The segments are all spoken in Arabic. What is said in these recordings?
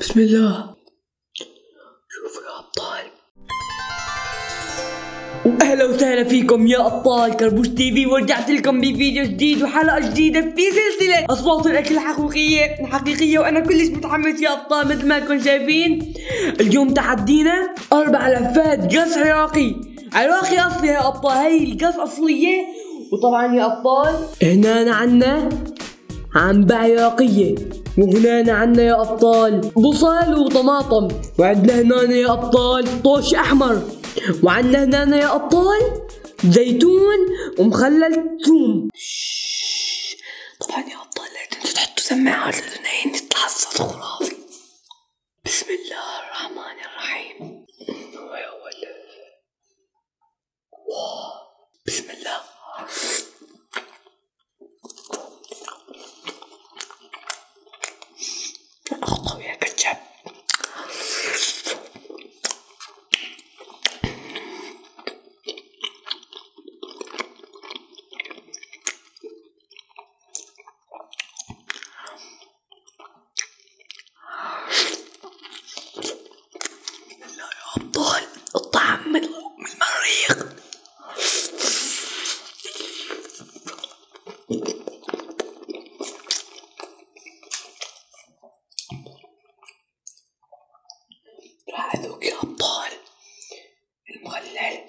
بسم الله شوفوا يا ابطال واهلا وسهلا فيكم يا ابطال كربوش تي في ورجعت لكم بفيديو جديد وحلقه جديده في سلسله اصوات الاكل الحقيقيه الحقيقيه وانا كلش متحمس يا ابطال مثل ما انكم شايفين اليوم تحدينا اربع لفات قص عراقي عراقي اصلي يا ابطال هي القص اصليه وطبعا يا ابطال هنا عنا عن بعياقية وهنا عنا يا أبطال بصل وطماطم وعندنا هنا يا أبطال طوش أحمر وعندنا هنا يا أبطال زيتون ومخلل ثوم طبعا يا أبطال لا تنسوا تحطوا سماعات لأنه يطلع الصوت خرافي بسم الله الرحمن الرحيم بسم الله أخطوي يا كتشب لا يا أبطال الطعم من المريخ راح أذوق يا أبطال المخلل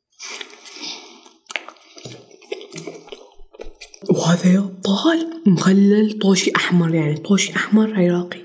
وهذا يا طال مخلل طوشي أحمر يعني طوشي أحمر عراقي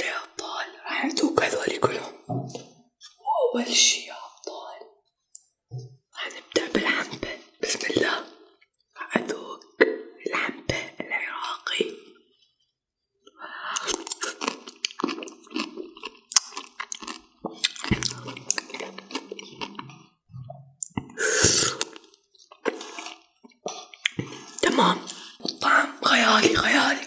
يا أبطال راح يعطوك هذولي كلهم أول شي يا أبطال وحنبدأ بالعنبة بسم الله أدوق العنبة العراقي تمام الطعم خيالي خيالي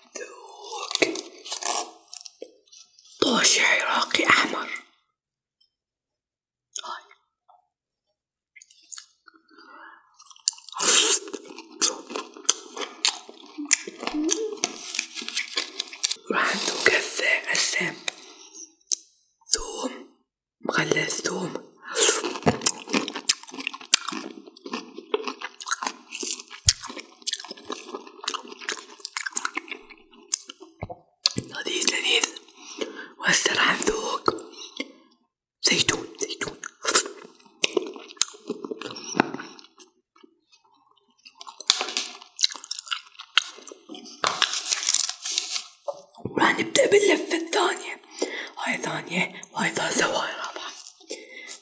ممدوك طوش عراقي أحمر راح ندوق هسه هسه ثوم مغلس ثوم لذيذ لذيذ وهسه راح نذوق زيتون زيتون وراح نبدأ باللفة الثانية هاي ثانية وهاي ثالثة وهاي رابعة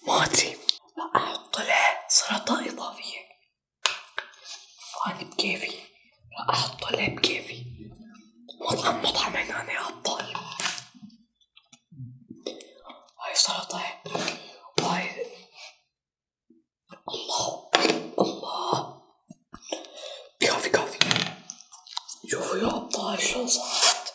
ما أدري لا طلع سلطه إضافية وأنا بكيفي راح أحط طلع بكيفي مطعم مطعم يا ابطال هاي سلطة وهاي الله الله كافي كافي شوفوا يا أبطال شو صارت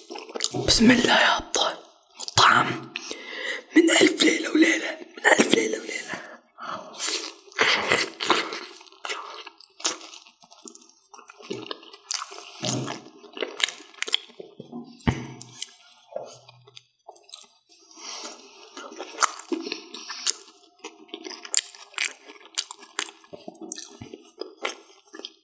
بسم الله يا ابطال الطعام من ألف ليلة وليلة من ألف ليلة وليلة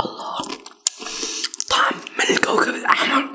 الله طعم من الكوكب الأحمر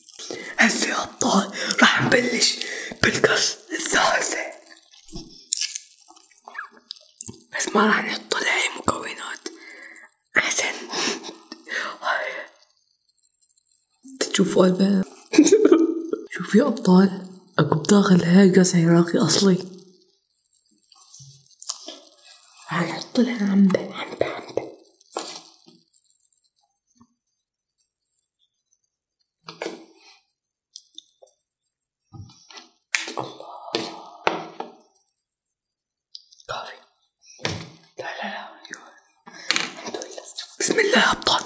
هسه يا ابطال راح نبلش بالقص الثالثة بس ما راح نحط لها مكونات احسن تشوفوا الباب شوف يا ابطال اكو بداخل هاي قص عراقي اصلي راح نحط لها عمبه عمبه عمبه الله كافي لا لا لا الحمد لله بسم الله ابطال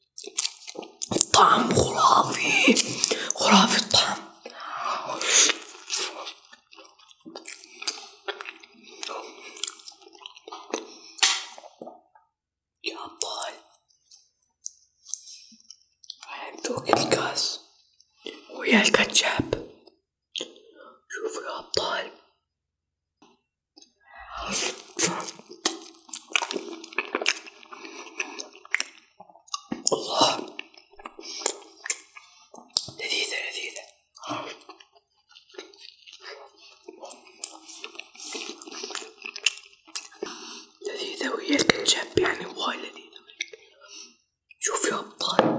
طعم خرافي خرافي الطعم يا أبطال راح الكاس ويا الكاتشاب شوفوا يا أبطال الله لذيذة لذيذة لذيذة وياك الجنب يعني وايد لذيذة شوف يا أبطال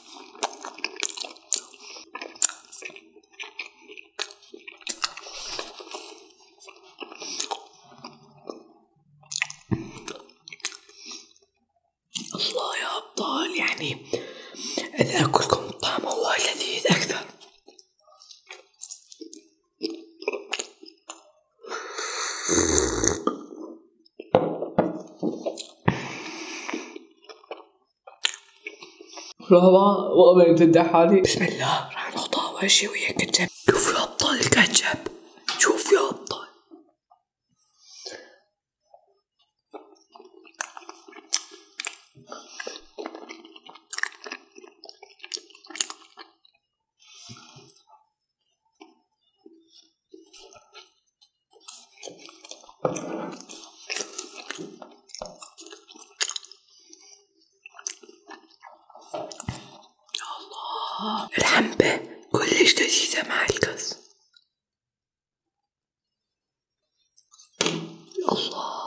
الله يا أبطال يعني إذا أكلكم الطعم هو لذيذ أكثر لحظة وأنا أمتدح حالي بسم الله راح نحطها أول شي ويا كاتشب شوف يا أبطال الكاتشب شوف يا أبطال الله الحنبة كلش لذيذة مع الكز الله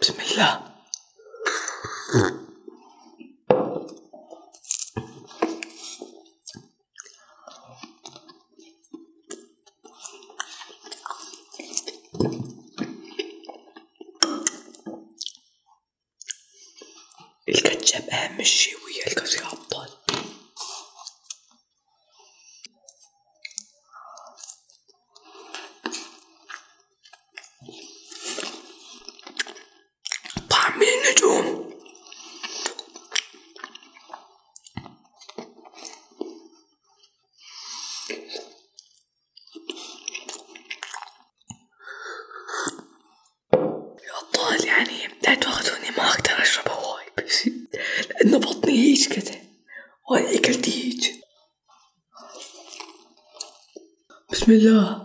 بسم الله الكاتشب اهم شي ويا الكاتشب طعم النجوم يا أبطال يعني لا تواخذوني ما أقدر أشرب هو والله لأن بطني هيج كده وهي أكلت هيج بسم الله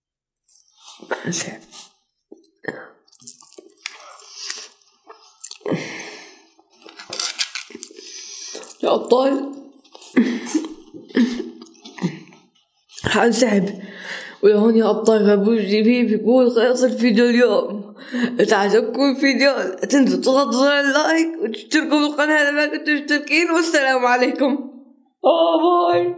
يا أبطال حنسحب هون يا أبطال فابوس بي يقول خلاص الفيديو اليوم تعجبكم الفيديو لا تنسوا تضغطوا زر اللايك وتشتركوا بالقناة إذا ما كنتوا مشتركين والسلام عليكم آه، باي باي